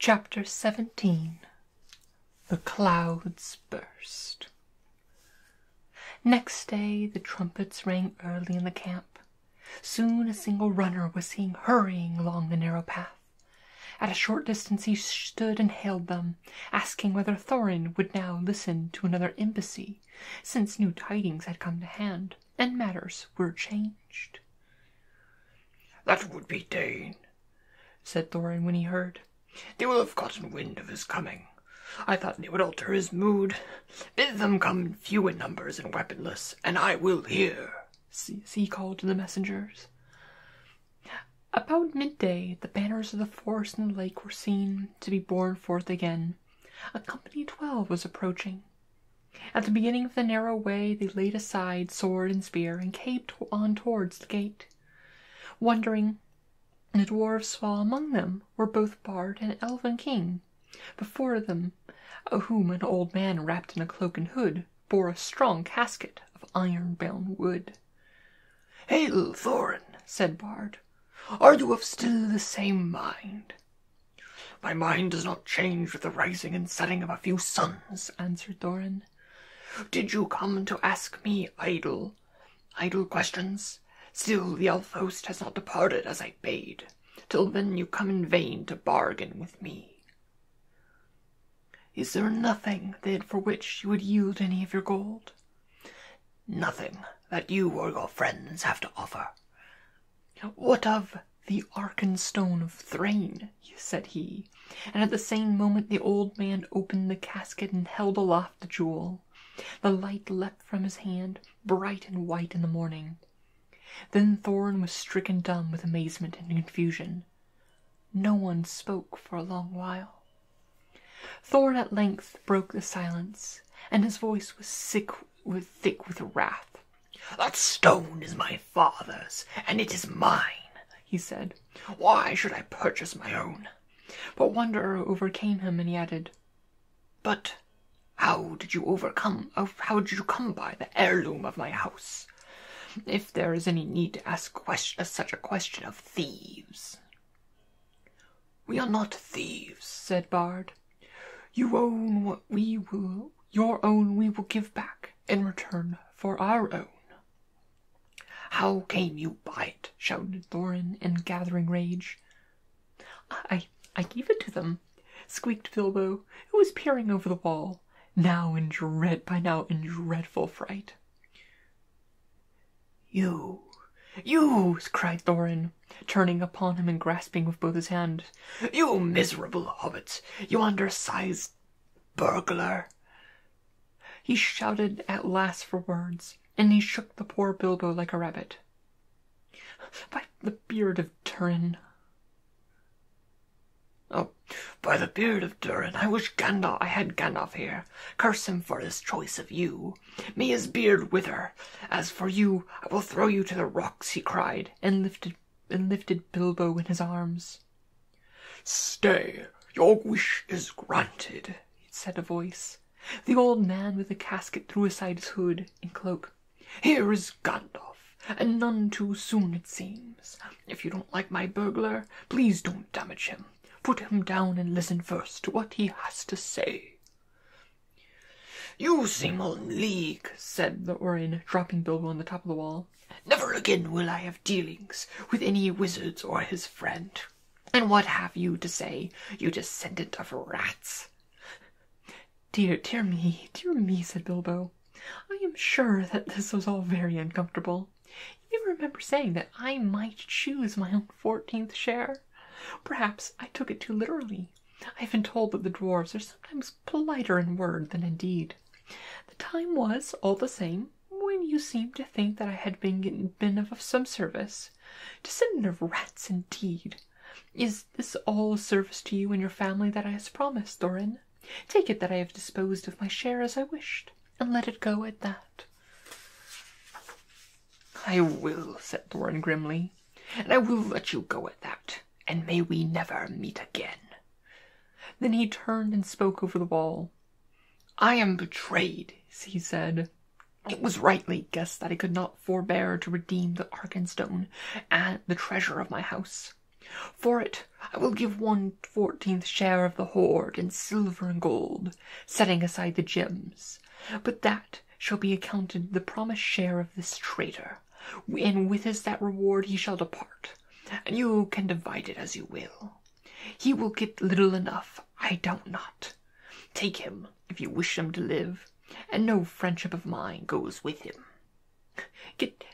Chapter 17 The Clouds Burst Next day the trumpets rang early in the camp. Soon a single runner was seen hurrying along the narrow path. At a short distance he stood and hailed them, asking whether Thorin would now listen to another embassy, since new tidings had come to hand and matters were changed. That would be Dane, said Thorin when he heard. They will have gotten wind of his coming. I thought they would alter his mood. Bid them come few in numbers and weaponless, and I will hear, he called to the messengers. About midday, the banners of the forest and the lake were seen to be borne forth again. A company twelve was approaching, at the beginning of the narrow way they laid aside sword and spear and came on towards the gate. Wondering the dwarfs saw among them were both Bard and Elven King. Before them, whom an old man wrapped in a cloak and hood bore a strong casket of iron-bound wood. "Hail, Thorin," said Bard, "are you of still the same mind?" My mind does not change with the rising and setting of a few suns, answered Doran. Did you come to ask me idle, idle questions? Still the elf host has not departed as I bade. Till then you come in vain to bargain with me. Is there nothing, then, for which you would yield any of your gold? Nothing that you or your friends have to offer. What of the Stone of Thrain, said he, and at the same moment the old man opened the casket and held aloft the jewel. The light leapt from his hand, bright and white in the morning. Then Thorn was stricken dumb with amazement and confusion. No one spoke for a long while. Thorn at length broke the silence, and his voice was sick with thick with wrath. That stone is my father's, and it is mine, he said. Why should I purchase my own? But wonder overcame him, and he added, But how did you overcome, how did you come by the heirloom of my house? If there is any need to ask uh, such a question of thieves. We are not thieves, said Bard. You own what we will, your own we will give back in return for our own. How came you by it? shouted Thorin in gathering rage. I I gave it to them, squeaked Bilbo, who was peering over the wall, now in dread by now in dreadful fright. You you cried Thorin, turning upon him and grasping with both his hands. You miserable hobbit! You undersized burglar! He shouted at last for words, and he shook the poor Bilbo like a rabbit. By the beard of Turin. Oh, by the beard of Durin, I wish Gandalf I had Gandalf here. Curse him for his choice of you. May his beard wither. As for you, I will throw you to the rocks, he cried, and lifted and lifted Bilbo in his arms. "Stay, your wish is granted," said a voice. The old man with the casket threw aside his hood and cloak. "Here is Gandalf, and none too soon it seems. If you don't like my burglar, please don't damage him. Put him down and listen first to what he has to say." You Zingel League, said the Orin, dropping Bilbo on the top of the wall. Never again will I have dealings with any wizards or his friend. And what have you to say, you descendant of rats? Dear, dear me, dear me, said Bilbo. I am sure that this was all very uncomfortable. You remember saying that I might choose my own fourteenth share? Perhaps I took it too literally. I've been told that the dwarves are sometimes politer in word than in deed. The time was, all the same, when you seemed to think that I had been, been of some service. Descendant of rats, indeed! Is this all service to you and your family that I have promised, Thorin? Take it that I have disposed of my share as I wished, and let it go at that. I will, said Thorin grimly, and I will let you go at that and may we never meet again. Then he turned and spoke over the wall. I am betrayed, he said. It was rightly guessed that I could not forbear to redeem the Ark and Stone, and the treasure of my house. For it I will give one fourteenth share of the hoard in silver and gold, setting aside the gems, but that shall be accounted the promised share of this traitor and with his that reward he shall depart, and you can divide it as you will. He will get little enough, I doubt not. Take him if you wish him to live, and no friendship of mine goes with him. Get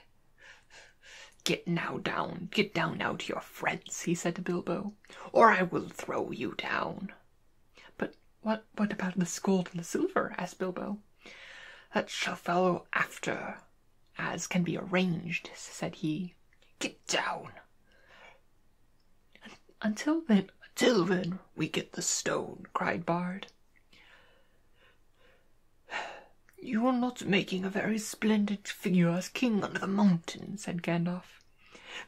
get now down, get down now to your friends, he said to Bilbo, or I will throw you down. But what what about the gold and the silver? asked Bilbo. That shall follow after, as can be arranged, said he. Get down. Until then, until then, we get the stone, cried Bard. You are not making a very splendid figure as king under the mountain, said Gandalf.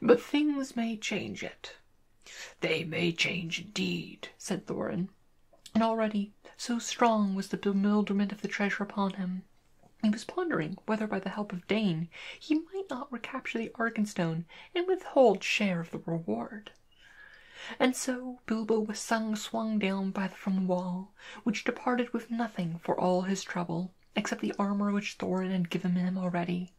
But things may change yet. They may change indeed, said Thorin. And already so strong was the bewilderment of the treasure upon him, he was pondering whether by the help of Dane he might not recapture the Argonstone and withhold share of the reward. And so Bilbo was sung, swung down by the, from the wall, which departed with nothing for all his trouble, except the armor which Thorin had given him already.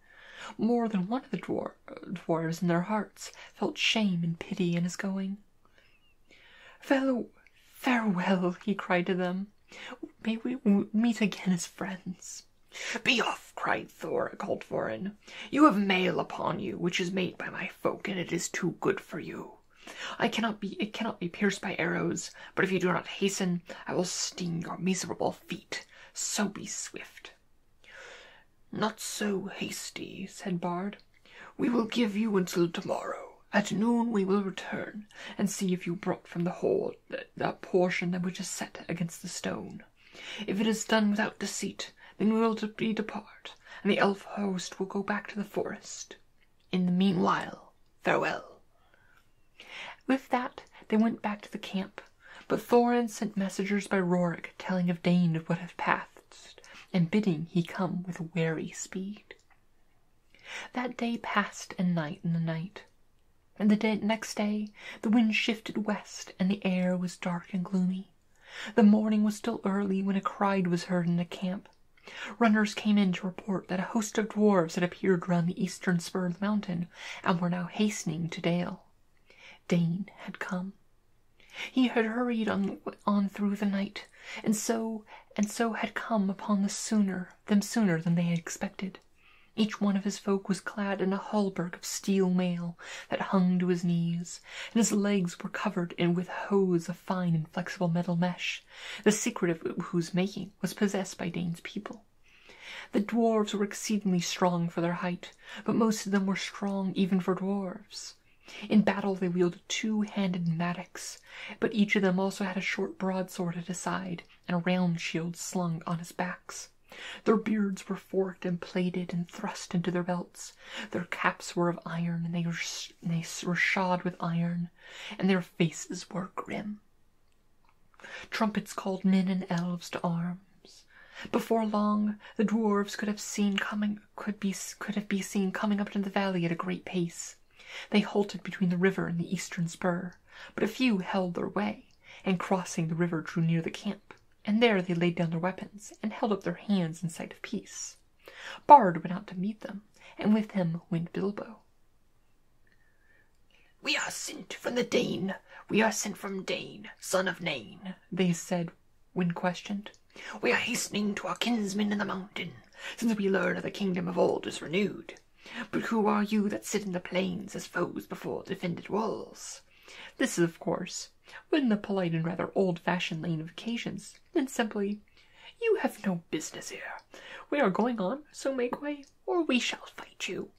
More than one of the dwarves dwarves in their hearts felt shame and pity in his going. Farewell, farewell, he cried to them. May we meet again as friends. Be off, cried Thor, called Thorin. You have mail upon you, which is made by my folk, and it is too good for you. I cannot be it cannot be pierced by arrows, but if you do not hasten, I will sting your miserable feet. So be swift. Not so hasty, said Bard. We will give you until tomorrow. At noon we will return and see if you brought from the hall that portion that which is set against the stone. If it is done without deceit, then we will be depart, and the elf host will go back to the forest. In the meanwhile, farewell. With that, they went back to the camp, but Thorin sent messengers by Rorik telling of Dane of what had passed and bidding he come with wary speed. That day passed and night and the night, and the next day the wind shifted west, and the air was dark and gloomy. The morning was still early when a cry was heard in the camp. Runners came in to report that a host of dwarfs had appeared round the eastern spur of the mountain, and were now hastening to Dale. Dane had come. He had hurried on, on through the night, and so and so had come upon the sooner them sooner than they had expected. Each one of his folk was clad in a hauberk of steel mail that hung to his knees, and his legs were covered in with hose of fine and flexible metal mesh, the secret of whose making was possessed by Dane's people. The dwarves were exceedingly strong for their height, but most of them were strong even for dwarves. In battle they wielded two-handed mattocks, but each of them also had a short broadsword at his side and a round shield slung on his backs. Their beards were forked and plaited and thrust into their belts. Their caps were of iron, and they were shod with iron, and their faces were grim. Trumpets called men and elves to arms. Before long, the dwarves could have seen coming could be could have been seen coming up into the valley at a great pace. They halted between the river and the eastern spur, but a few held their way, and crossing the river drew near the camp, and there they laid down their weapons and held up their hands in sight of peace. Bard went out to meet them, and with him went Bilbo. We are sent from the Dane. We are sent from Dane, son of Nain, they said when questioned. We are hastening to our kinsmen in the mountain, since we learn that the kingdom of old is renewed. But who are you that sit in the plains as foes before defended walls? This is, of course, in the polite and rather old-fashioned lane of occasions, and simply, you have no business here. We are going on, so make way, or we shall fight you.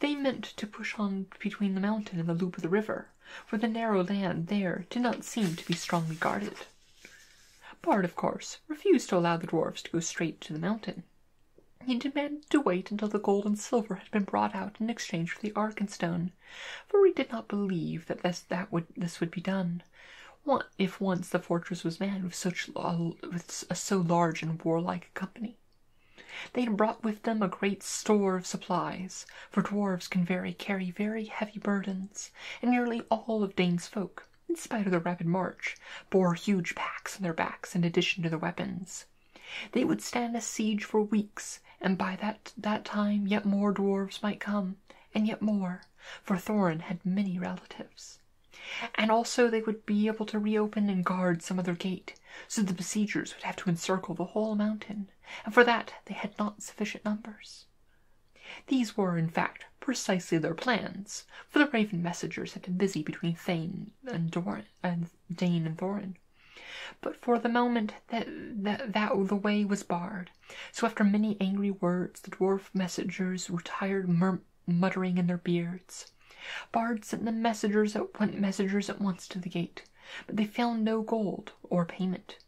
They meant to push on between the mountain and the loop of the river, for the narrow land there did not seem to be strongly guarded. Bard, of course, refused to allow the dwarfs to go straight to the mountain. He demanded to wait until the gold and silver had been brought out in exchange for the ark and stone, for he did not believe that this, would, be done, what if once the fortress was manned with such a, uh, uh, so large and warlike company. They had brought with them a great store of supplies, for dwarves can very carry very heavy burdens, and nearly all of Dane's folk, in spite of their rapid march, bore huge packs on their backs in addition to their weapons. They would stand a siege for weeks, and by that, that time yet more dwarves might come, and yet more, for Thorin had many relatives. And also they would be able to reopen and guard some other gate, so the besiegers would have to encircle the whole mountain and for that they had not sufficient numbers. These were, in fact, precisely their plans, for the Raven messengers had been busy between Thane and, Dain and Thorin. But for the moment that, that, the way was barred, so after many angry words the dwarf messengers retired muttering in their beards. Bard sent the messengers at, messengers at once to the gate, but they found no gold or payment.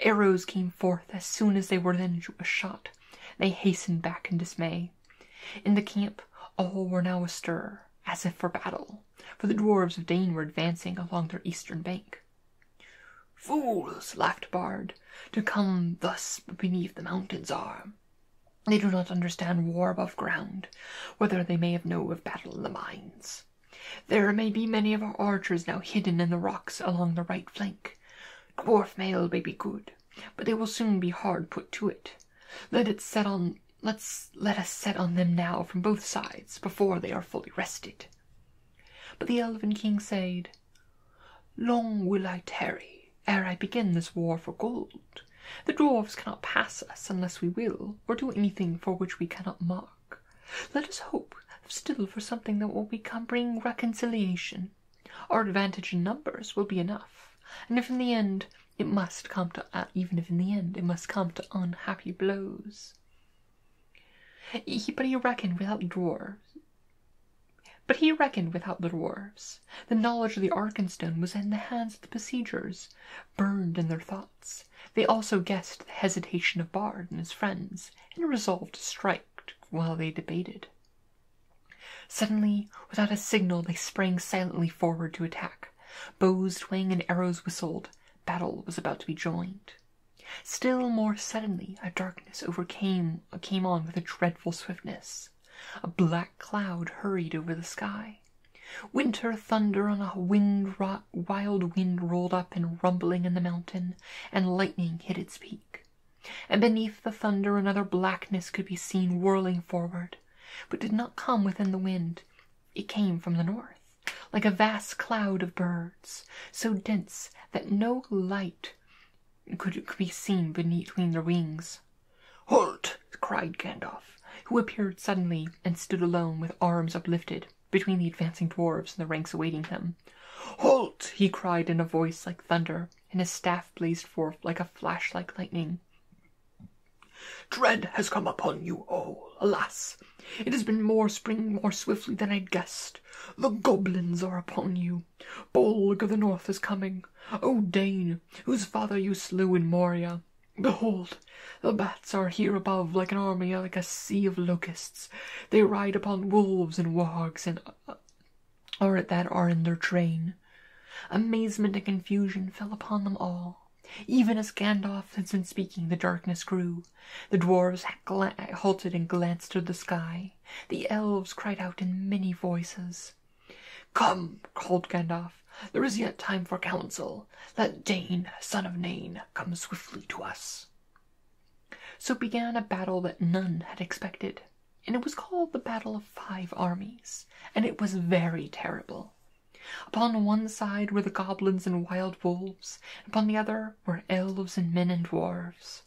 Arrows came forth as soon as they were then shot. They hastened back in dismay. In the camp, all were now astir, as if for battle, for the dwarves of Dane were advancing along their eastern bank. Fools, laughed Bard, to come thus beneath the mountain's arm. They do not understand war above ground, whether they may have know of battle in the mines. There may be many of our archers now hidden in the rocks along the right flank. Dwarf mail may be good, but they will soon be hard put to it. Let us set on them now from both sides before they are fully rested. But the Elven King said, Long will I tarry ere I begin this war for gold. The dwarfs cannot pass us unless we will, or do anything for which we cannot mark." Let us hope still for something that will become bring reconciliation. Our advantage in numbers will be enough, and if in the end it must come to uh, even if in the end it must come to unhappy blows. He, but he reckoned without dwarfs. But he reckoned without the dwarfs. The knowledge of the Arkenstone was in the hands of the besiegers, burned in their thoughts they also guessed the hesitation of Bard and his friends, and resolved to strike while they debated. Suddenly, without a signal, they sprang silently forward to attack. Bows twanged and arrows whistled. Battle was about to be joined. Still more suddenly, a darkness overcame came on with a dreadful swiftness. A black cloud hurried over the sky. Winter thunder on a wind wild wind rolled up and rumbling in the mountain, and lightning hit its peak. And beneath the thunder another blackness could be seen whirling forward, but did not come within the wind. It came from the north, like a vast cloud of birds, so dense that no light could, could be seen between their wings. Halt! cried Gandalf, who appeared suddenly and stood alone with arms uplifted between the advancing dwarves and the ranks awaiting him. Halt! he cried in a voice like thunder, and his staff blazed forth like a flash like lightning. Dread has come upon you all, alas! It has been more springing more swiftly than i guessed. The goblins are upon you. Balg of the North is coming. O Dane, whose father you slew in Moria. Behold, the bats are here above like an army, like a sea of locusts. They ride upon wolves and wogs, and uh, are that are in their train. Amazement and confusion fell upon them all. Even as Gandalf had been speaking, the darkness grew. The dwarves halted and glanced to the sky. The elves cried out in many voices. Come, called Gandalf, there is yet time for counsel. Let Dane, son of Nain, come swiftly to us. So began a battle that none had expected, and it was called the Battle of Five Armies, and it was very terrible. Upon one side were the goblins and wild wolves, and upon the other were elves and men and dwarfs.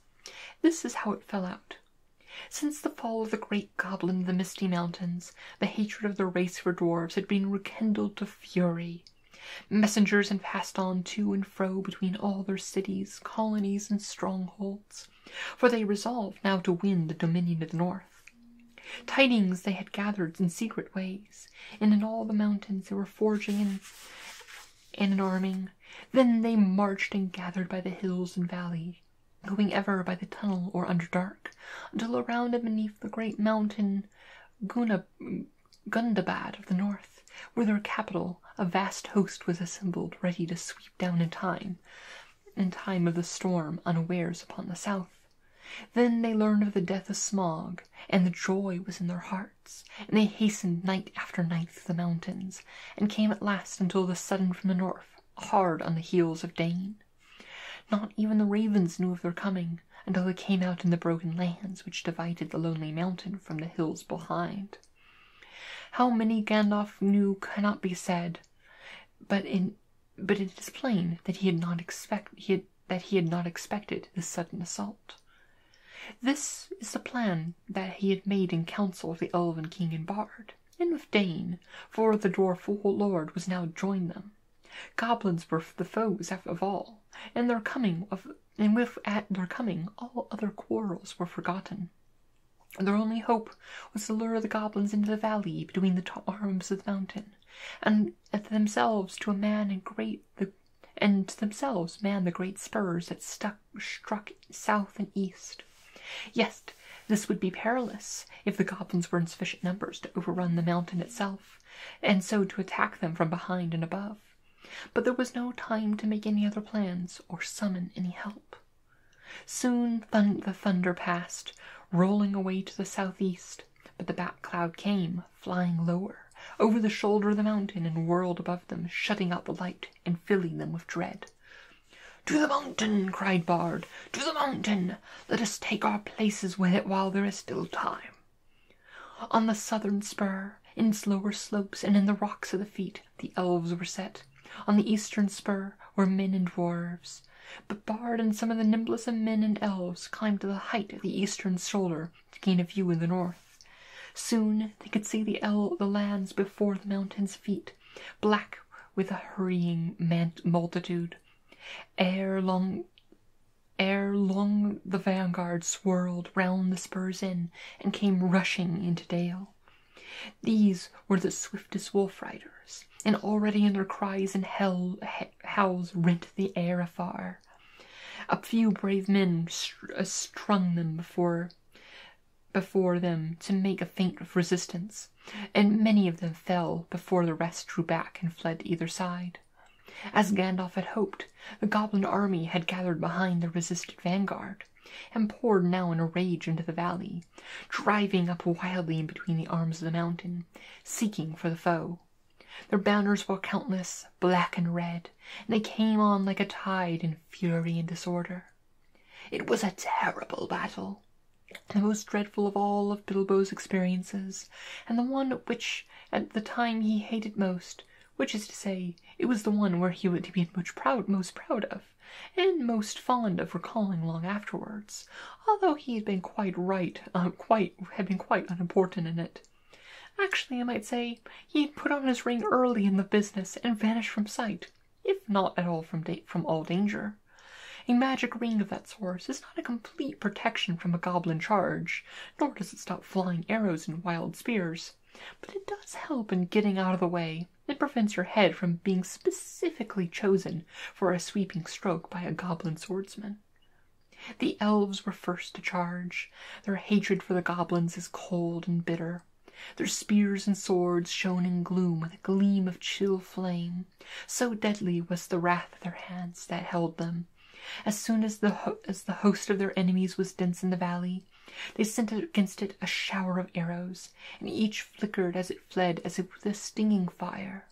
This is how it fell out. Since the fall of the great goblin of the Misty Mountains, the hatred of the race for dwarfs had been rekindled to fury, Messengers had passed on to and fro between all their cities, colonies, and strongholds, for they resolved now to win the dominion of the north. Tidings they had gathered in secret ways, and in all the mountains they were forging and, and arming. Then they marched and gathered by the hills and valley, going ever by the tunnel or under dark, until around and beneath the great mountain Guna Gundabad of the north, with their capital, a vast host was assembled, ready to sweep down in time, in time of the storm, unawares upon the south. Then they learned of the death of Smog, and the joy was in their hearts, and they hastened night after night through the mountains, and came at last until the sudden from the north, hard on the heels of Dane. Not even the ravens knew of their coming, until they came out in the broken lands which divided the lonely mountain from the hills behind. How many Gandalf knew cannot be said, but it is plain that he had not expect he that he had not expected this sudden assault. This is the plan that he had made in council with the Elven King and Bard, and with Dane, for the Dwarf Lord was now joined them. Goblins were the foes of all, and their coming of and with at their coming all other quarrels were forgotten. Their only hope was to lure the goblins into the valley between the arms of the mountain, and themselves to man and great the and themselves man the great spurs that stuck struck south and east. Yes, this would be perilous if the goblins were in sufficient numbers to overrun the mountain itself, and so to attack them from behind and above. But there was no time to make any other plans or summon any help. Soon the thunder passed, rolling away to the southeast, but the black cloud came, flying lower, over the shoulder of the mountain and whirled above them, shutting out the light and filling them with dread. To the mountain! cried Bard. To the mountain! Let us take our places with it while there is still time. On the southern spur, in slower slopes and in the rocks at the feet, the elves were set. On the eastern spur were men and dwarfs. But Bard and some of the nimblest of men and elves climbed to the height of the eastern shoulder to gain a view in the north. Soon they could see the, el- lands before the mountain's feet, black with a hurrying man- multitude. Ere long Ere long the vanguard swirled round the spurs Inn and came rushing into Dale. These were the swiftest wolf riders, and already their cries and hell, howls rent the air afar. A few brave men uh, strung them before before them to make a feint of resistance, and many of them fell before the rest drew back and fled to either side. As Gandalf had hoped, the goblin army had gathered behind the resisted vanguard, and poured now in a rage into the valley, driving up wildly in between the arms of the mountain, seeking for the foe. Their banners were countless, black and red, and they came on like a tide in fury and disorder. It was a terrible battle, the most dreadful of all of Bilbo's experiences, and the one which, at the time, he hated most, which is to say, it was the one where he to be much proud, most proud of, and most fond of recalling long afterwards, although he had been quite right, uh, quite had been quite unimportant in it. Actually, I might say he had put on his ring early in the business and vanished from sight, if not at all from from all danger. A magic ring of that sort is not a complete protection from a goblin charge, nor does it stop flying arrows and wild spears. But it does help in getting out of the way. It prevents your head from being specifically chosen for a sweeping stroke by a goblin swordsman. The elves were first to charge. Their hatred for the goblins is cold and bitter. Their spears and swords shone in gloom with a gleam of chill flame. So deadly was the wrath of their hands that held them. As soon as the, as the host of their enemies was dense in the valley, they sent against it a shower of arrows, and each flickered as it fled as if with a stinging fire.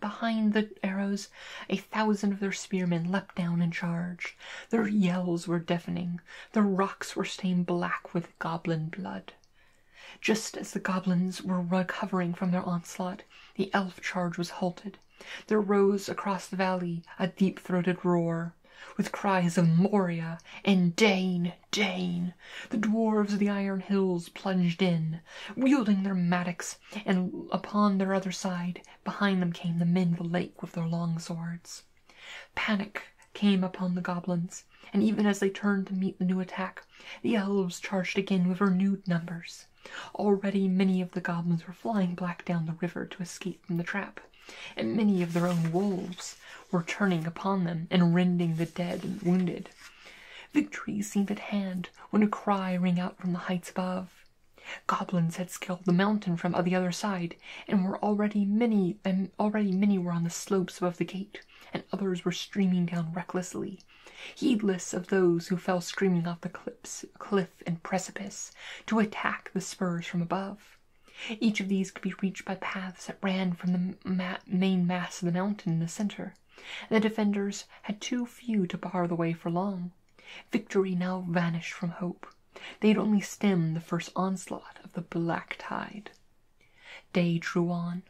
Behind the arrows, a thousand of their spearmen leapt down and charged. Their yells were deafening. The rocks were stained black with goblin blood. Just as the goblins were recovering from their onslaught, the elf charge was halted, there rose across the valley a deep throated roar, with cries of Moria and Dane, Dane. The dwarves of the Iron Hills plunged in, wielding their mattocks, and upon their other side, behind them came the men of the lake with their long swords. Panic came upon the goblins, and even as they turned to meet the new attack, the elves charged again with renewed numbers. Already many of the goblins were flying back down the river to escape from the trap, and many of their own wolves were turning upon them and rending the dead and wounded. Victory seemed at hand when a cry rang out from the heights above. Goblins had scaled the mountain from the other side, and were already many and already many were on the slopes above the gate, and others were streaming down recklessly, heedless of those who fell screaming off the cliffs, and precipice to attack the spurs from above. Each of these could be reached by paths that ran from the main mass of the mountain in the center, the defenders had too few to bar the way for long. Victory now vanished from hope. They had only stemmed the first onslaught of the black tide. Day drew on.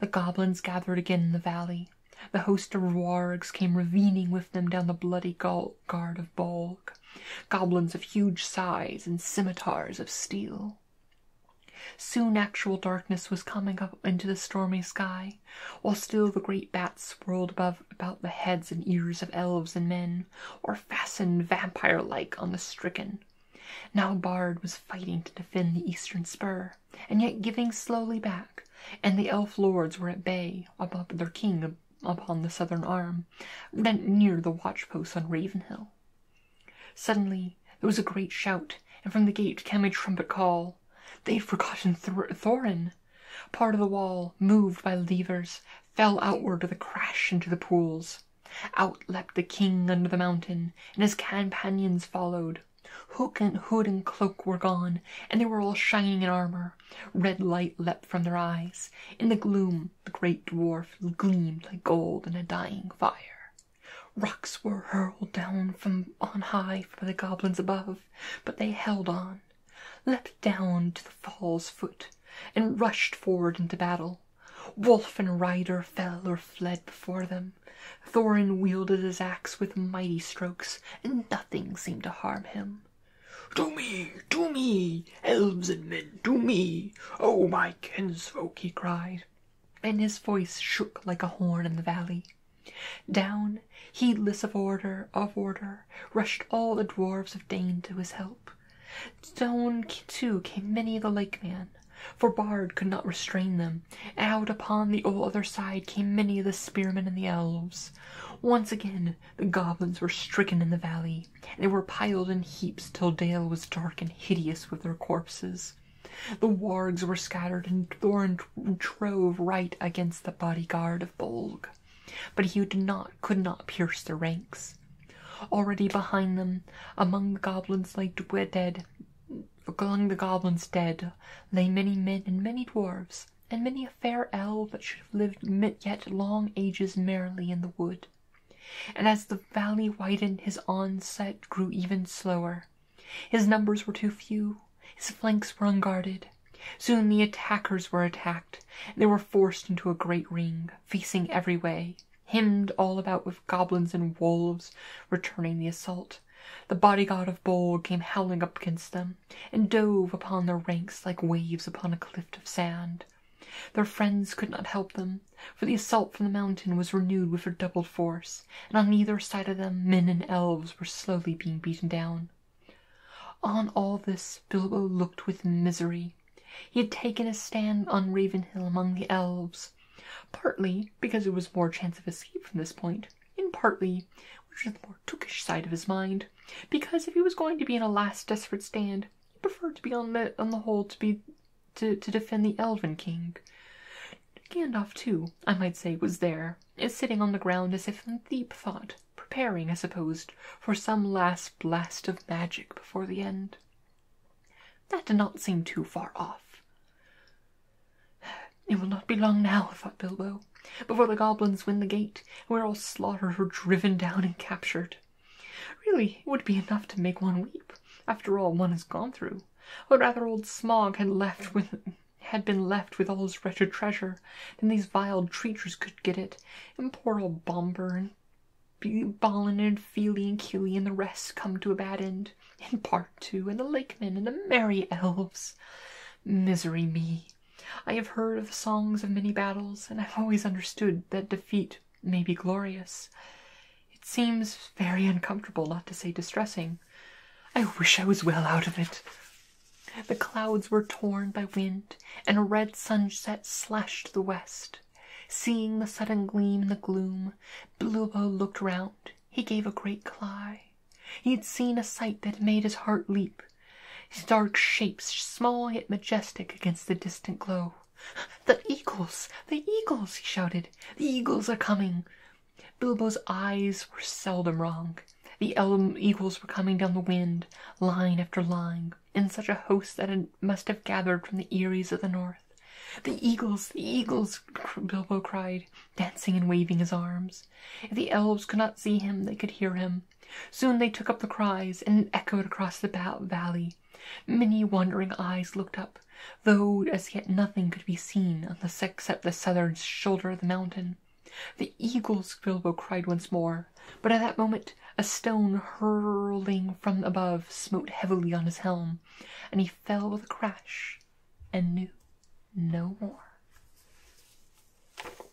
The goblins gathered again in the valley. The host of wargs came ravening with them down the bloody gulf guard of Balg, goblins of huge size and scimitars of steel. Soon actual darkness was coming up into the stormy sky, while still the great bats whirled above about the heads and ears of elves and men, or fastened vampire-like on the stricken. Now Bard was fighting to defend the eastern spur, and yet giving slowly back, and the elf lords were at bay above their king upon the southern arm, rent near the watch posts on Ravenhill. Suddenly there was a great shout, and from the gate came a trumpet call. They had forgotten Th Thorin. Part of the wall, moved by levers, fell outward with a crash into the pools. Out leapt the king under the mountain, and his companions followed. Hook and hood and cloak were gone, and they were all shining in armour. Red light leapt from their eyes. In the gloom, the great dwarf gleamed like gold in a dying fire. Rocks were hurled down from on high by the goblins above, but they held on, leapt down to the fall's foot, and rushed forward into battle. Wolf and rider fell or fled before them. Thorin wielded his axe with mighty strokes, and nothing seemed to harm him. To me, to me, elves and men, to me, oh my kinsfolk, he cried, and his voice shook like a horn in the valley. Down, heedless of order, of order, rushed all the dwarfs of Dane to his help. Down too came many of the lake men, for Bard could not restrain them. Out upon the other side came many of the spearmen and the elves. Once again the goblins were stricken in the valley, and they were piled in heaps till Dale was dark and hideous with their corpses. The wargs were scattered and thorn trove right against the bodyguard of Bolg, but he did not, could not pierce the ranks. Already behind them, among the goblins lay dead, among the goblins dead, lay many men and many dwarfs, and many a fair elf that should have lived yet long ages merrily in the wood. And as the valley widened, his onset grew even slower. His numbers were too few, his flanks were unguarded. Soon the attackers were attacked, they were forced into a great ring, facing every way, hemmed all about with goblins and wolves, returning the assault. The bodyguard of Bol came howling up against them, and dove upon their ranks like waves upon a cliff of sand. Their friends could not help them, for the assault from the mountain was renewed with redoubled force, and on either side of them men and elves were slowly being beaten down. On all this Bilbo looked with misery. He had taken his stand on Raven Hill among the elves, partly because there was more chance of escape from this point, and partly, which was the more tookish side of his mind, because if he was going to be in a last desperate stand, he preferred to be on the on the whole to be to to defend the Elven King. Gandalf too, I might say, was there, sitting on the ground as if in deep thought, preparing, I suppose, for some last blast of magic before the end. That did not seem too far off. It will not be long now, thought Bilbo before the goblins win the gate, and we're all slaughtered or driven down and captured. Really, it would be enough to make one weep, after all one has gone through. Or rather old Smog had left with been left with all his wretched treasure, than these vile treachers could get it, and poor old Bomber and Ballin and Feely and Keely and the rest come to a bad end, and part two, and the Lakemen and the merry elves. Misery me! I have heard of the songs of many battles, and I've always understood that defeat may be glorious. It seems very uncomfortable, not to say distressing. I wish I was well out of it. The clouds were torn by wind, and a red sunset slashed the west. Seeing the sudden gleam in the gloom, Bilbo looked round. He gave a great cry. He had seen a sight that made his heart leap. His dark shapes, small yet majestic against the distant glow. The eagles! The eagles! he shouted. The eagles are coming! Bilbo's eyes were seldom wrong. The elven eagles were coming down the wind, line after line, in such a host that it must have gathered from the eyries of the north. The eagles! The eagles! Bilbo cried, dancing and waving his arms. If the elves could not see him, they could hear him, Soon they took up the cries and echoed across the valley. Many wondering eyes looked up, though as yet nothing could be seen except the southern shoulder of the mountain. The eagles, Bilbo cried once more, but at that moment a stone hurling from above smote heavily on his helm, and he fell with a crash and knew no more.